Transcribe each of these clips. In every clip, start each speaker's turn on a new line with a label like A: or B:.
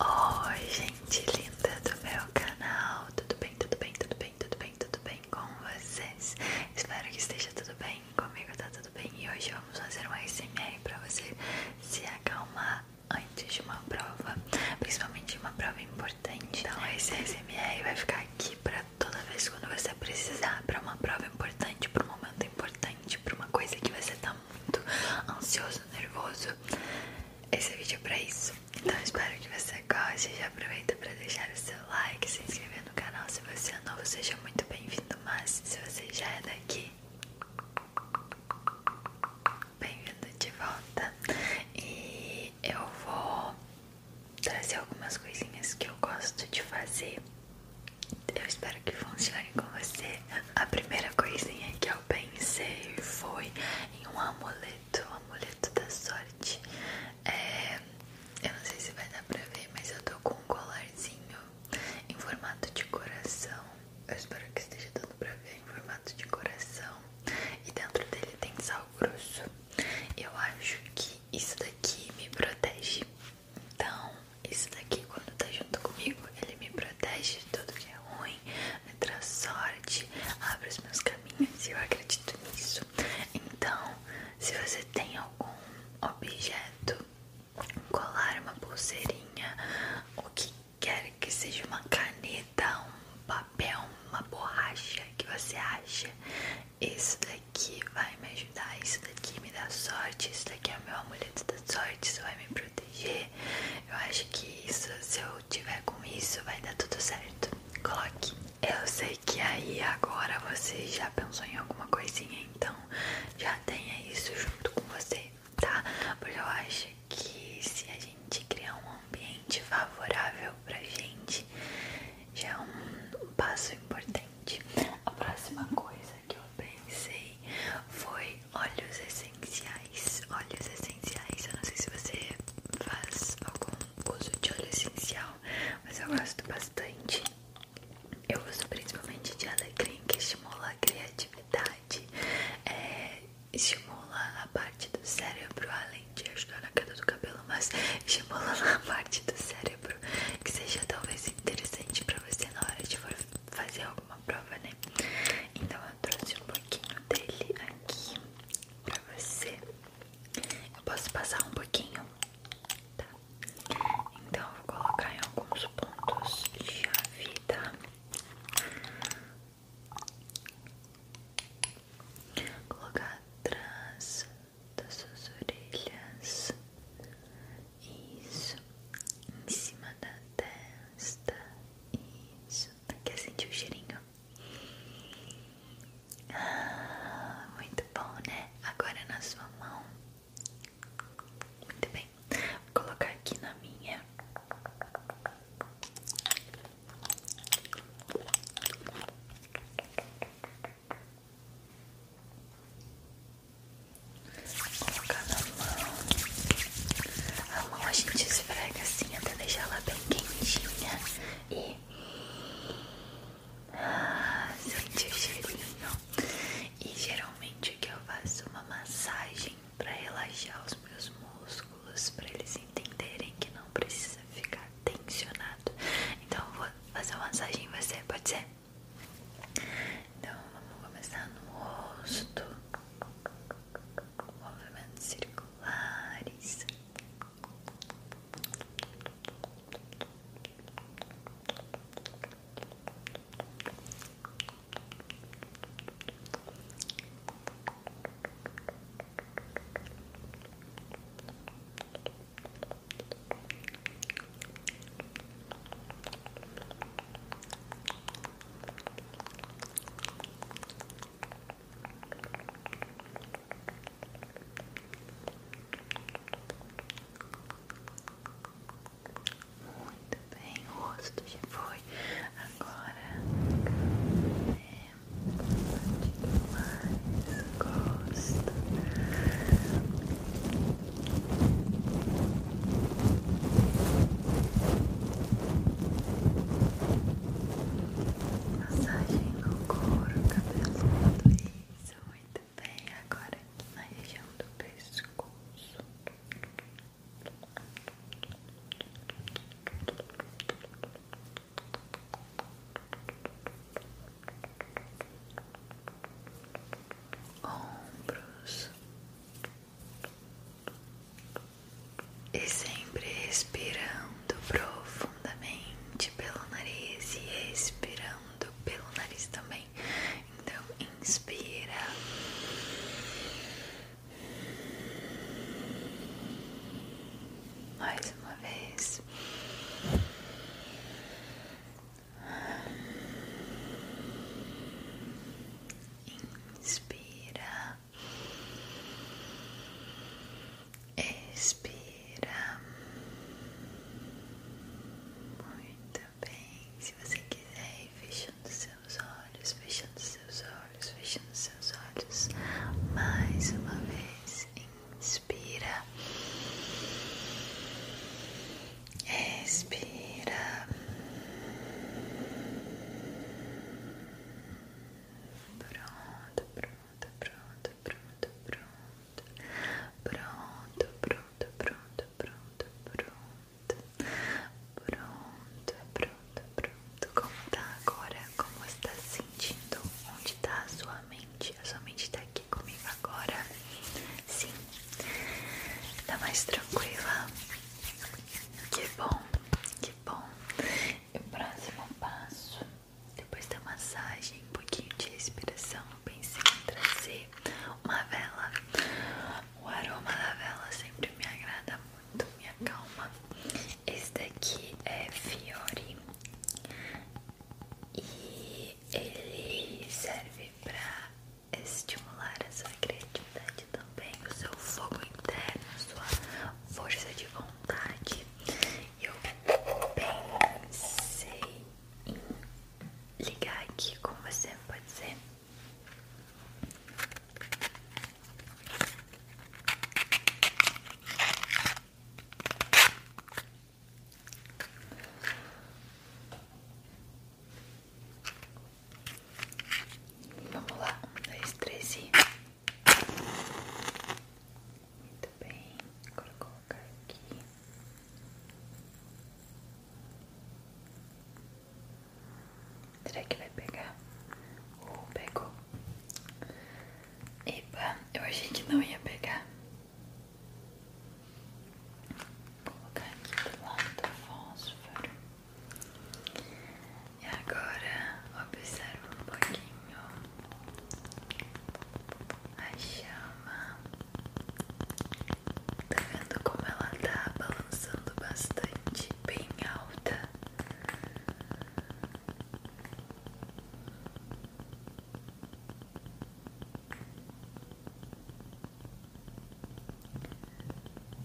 A: Oi gente linda do meu canal, tudo bem, tudo bem, tudo bem, tudo bem, tudo bem com vocês? Espero que esteja tudo bem, comigo tá tudo bem e hoje vamos fazer um SMR para você se acalmar antes de uma prova, principalmente uma prova importante Então esse SMR vai ficar aqui para toda vez quando você precisar, para uma prova importante, para um momento importante, para uma coisa que você tá Tá muito ansioso, nervoso. Esse vídeo é pra isso. Então espero que você goste. Já aproveita pra deixar o seu like, se inscrever no canal. Se você é novo, seja muito bem-vindo. Mas se você já é daqui, bem-vindo de volta. E eu vou trazer algumas coisinhas que eu gosto de fazer. Eu espero espero que funcione com você. A primeira coisinha que eu pensei foi em um amuleto, um amuleto da sorte. É, eu não sei se vai dar pra ver, mas eu tô com um colarzinho em formato de coração. Eu espero que esteja dando pra ver em formato de coração. E dentro dele tem sal grosso. Eu acho que isso daqui me protege. Então, isso daqui, quando tá junto comigo, ele me protege de tudo que é ruim, me traz sorte, abre os meus caminhos e eu acredito nisso. Então, se você tem algum objeto, um colar, uma pulseirinha, o que quer que seja uma caneta, um papel, uma borracha que você acha, isso daqui vai me ajudar, isso daqui me dá sorte, isso daqui é o meu amuleto da sorte, isso vai me proteger. Eu acho que isso, se eu tiver com isso, vai dar tudo certo. Coloque. Eu sei que aí agora você já pensou em alguma coisinha, então já tenha isso junto com você, tá? Porque eu acho que se a gente criar um ambiente favorável pra gente, já é um passo importante. A próxima coisa que eu pensei foi óleos essenciais. Óleos essenciais, eu não sei se você faz algum uso de óleo essencial, mas eu gosto bastante. Eu uso principalmente de alecrim, que estimula a criatividade, é, estimula a parte do cérebro, além de ajudar na queda do cabelo, mas estimula a parte do cérebro, que seja talvez interessante pra você na hora de fazer alguma prova, né? Então eu trouxe um pouquinho dele aqui pra você. Eu posso passar um pouquinho? Tá. Então eu vou colocar em alguns pontos chave, tá? Vou colocar atrás das suas orelhas isso, em cima da testa. Isso, quer sentir o cheirinho? Ah, muito bom, né? Agora na sua mão. Muito bem, vou colocar aqui na minha. Colocar na mão. A mão a gente esfrega assim até deixar ela bem quentinha. E ah, o cheirinho. E geralmente o que eu faço é uma massagem para relaxar os meus músculos, para eles entenderem que não precisa ficar tensionado. Então eu vou fazer uma massagem em você, pode ser? Então vamos começar no rosto, movimentos circulares. Muito bem, o rosto já foi. Agora é mais gosto. Massagem no couro cabeludo, isso, muito bem, agora na região do pescoço ombros e sempre respirando profundamente pelo nariz e expirando pelo nariz também. Então, inspira. Mais uma vez Inspira, expira. Muito bem. Se você quiser ir fechando seus olhos, fechando seus olhos, fechando seus olhos. Mais uma vez, inspira. Respira. Pronto, pronto, pronto, pronto, pronto. Pronto, pronto, pronto, pronto, pronto. Pronto, pronto, pronto. pronto pronto Como tá agora? Como está sentindo? Onde está a sua mente? somente sua tá aqui comigo agora. Sim, tá mais tranquila. Que bom, que bom. E o próximo passo, depois da massagem, um pouquinho de respiração, eu pensei em trazer uma vela. O aroma da vela sempre me agrada muito, me acalma. Esse daqui é Fiori. E ele serve para estimular a sua criatividade também, o seu fogo interno, a sua força de vontade. Eu pensei em ligar aqui com você, pode ser? Vamos lá, um, dois, três e. Muito bem, agora vou colocar aqui. Será que vai pegar? Uh, pegou. Epa, eu achei que não ia pegar. Vou colocar aqui do lado do fósforo. E agora observa um pouquinho a chama. Tá vendo como ela tá balançando bastante, bem alta.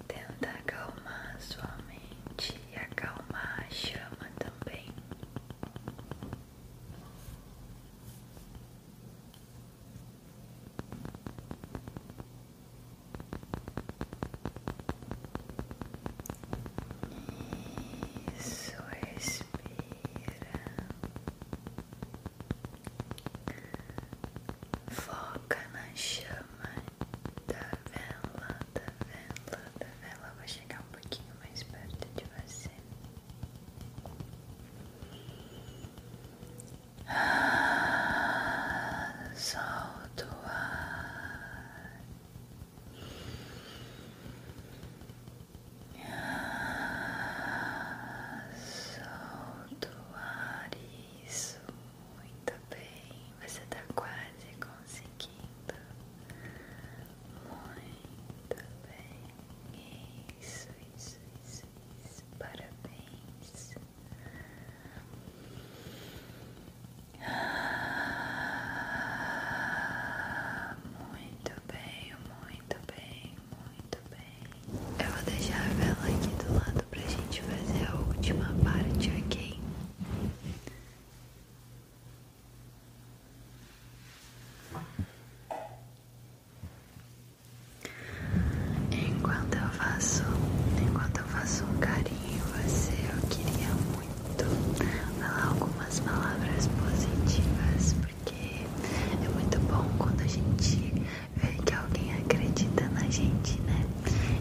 A: Tenta acalmar sua mente e acalmar a chama também. Isso, respira. Foca na chama da vela, da vela, da vela. Eu vou chegar um pouquinho mais perto de você. Ah, solta o ar. Solta o ar, isso, muito bem, você tá quase conseguindo, muito bem, isso, isso, isso, isso. parabéns. Ah, muito bem, muito bem, muito bem. Eu vou deixar a vela aqui do lado para gente fazer a última parte, ok? Enquanto eu faço, enquanto eu faço um carinho em você, eu queria muito falar algumas palavras positivas porque é muito bom quando a gente vê que alguém acredita na gente, né?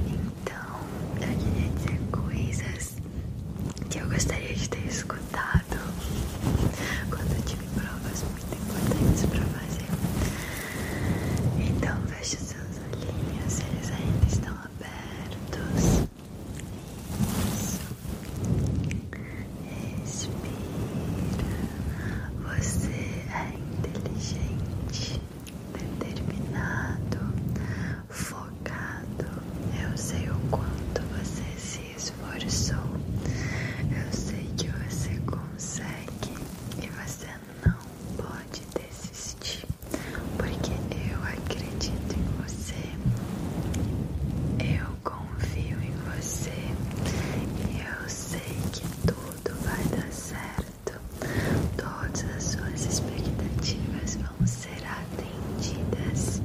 A: Então, eu queria dizer coisas que eu gostaria de ter escutado quando eu tive provas muito importantes para fazer. Então, veja seus olhinhos, eles ainda estão abertos. Isso. Respira. Você é inteligente, determinado, focado. Eu sei o quanto você se esforçou. Eu sei que você consegue e você não pode desistir, porque eu acredito em você. Eu confio em você e eu sei que tudo vai dar certo. Todas as suas expectativas vão ser atendidas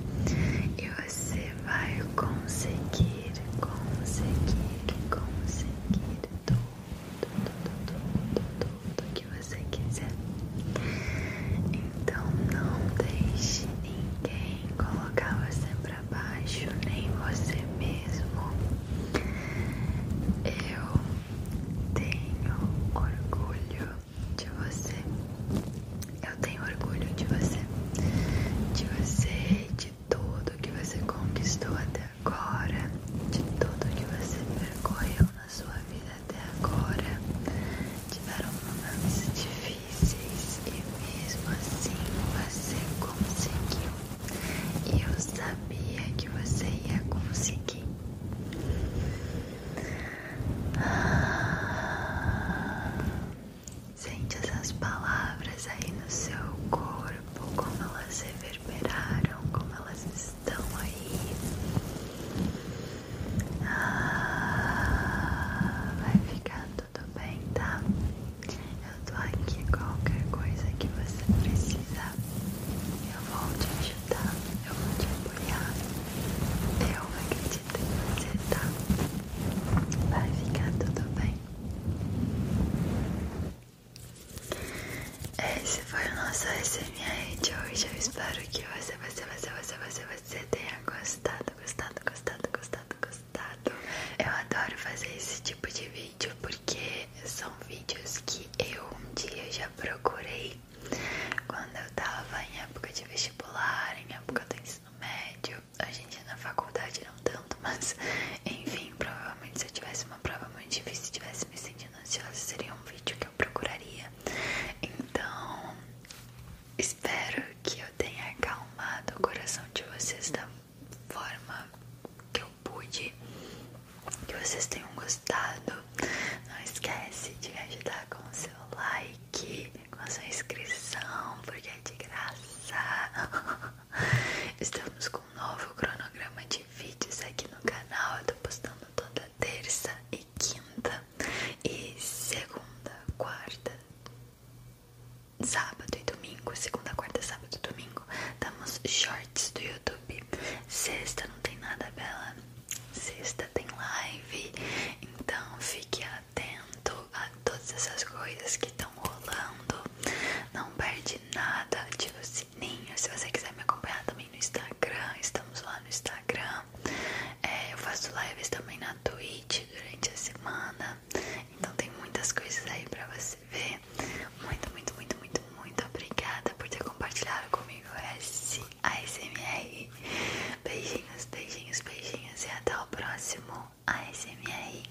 A: e você vai conseguir, conseguir, conseguir tudo, tudo, tudo, tudo, tudo que você quiser. Então não deixe ninguém colocar você para baixo, nem você mesmo. Eu tenho orgulho de você. Eu tenho orgulho de você. De você, de tudo que você conquistou até agora, de tudo que você percorreu na sua vida até agora. Tiveram momentos difíceis difíceis e mesmo assim você conseguiu. e Eu sabia que você ia conseguir. sente essas palavras aí no seu corpo, como elas reverberaram, como elas estão aí. Ah, vai ficar tudo bem, tá? Eu tô aqui qualquer coisa que você precisa. Eu vou te ajudar, eu vou te apoiar. Eu acredito em você, tá? Vai ficar tudo bem. Esse foi o nosso SMR de hoje. Eu espero que você, você, você, você, você, você você tenha gostado, gostado, gostado, gostado, gostado. Eu adoro fazer esse tipo de vídeo porque são vídeos que eu um dia já procurei quando eu tava em época de vestibular, em época do ensino médio. A gente na faculdade não tanto, mas enfim, provavelmente se eu tivesse uma prova muito difícil, se tivesse me sentindo ansiosa, seria um vídeo que procuraria. Então, espero que eu tenha acalmado o coração de vocês da forma que eu pude. Que vocês tenham gostado. Não esquece de me ajudar com o seu like, com a sua inscrição, porque é de graça. Estamos com um novo cronograma de vídeos aqui no canal. Eu tô postando toda terça e quinta, e segunda, quarta, sábado e domingo. Segunda, quarta, sábado e domingo. Damos shorts do YouTube. Sexta não tem nada, Bela. Sexta tem live. Então fique atento a todas essas coisas que estão rolando. Não perde nada. Ativa o sininho. Se você quiser me acompanhar também no Instagram, estamos lá no Instagram. É, eu faço lives também na Twitch durante a semana. Então tem muitas coisas aí pra você ver. Muito, muito, muito, muito, muito obrigada por ter compartilhado comigo esse ASMR. Beijinhos, beijinhos, beijinhos e até o próximo A ASMR.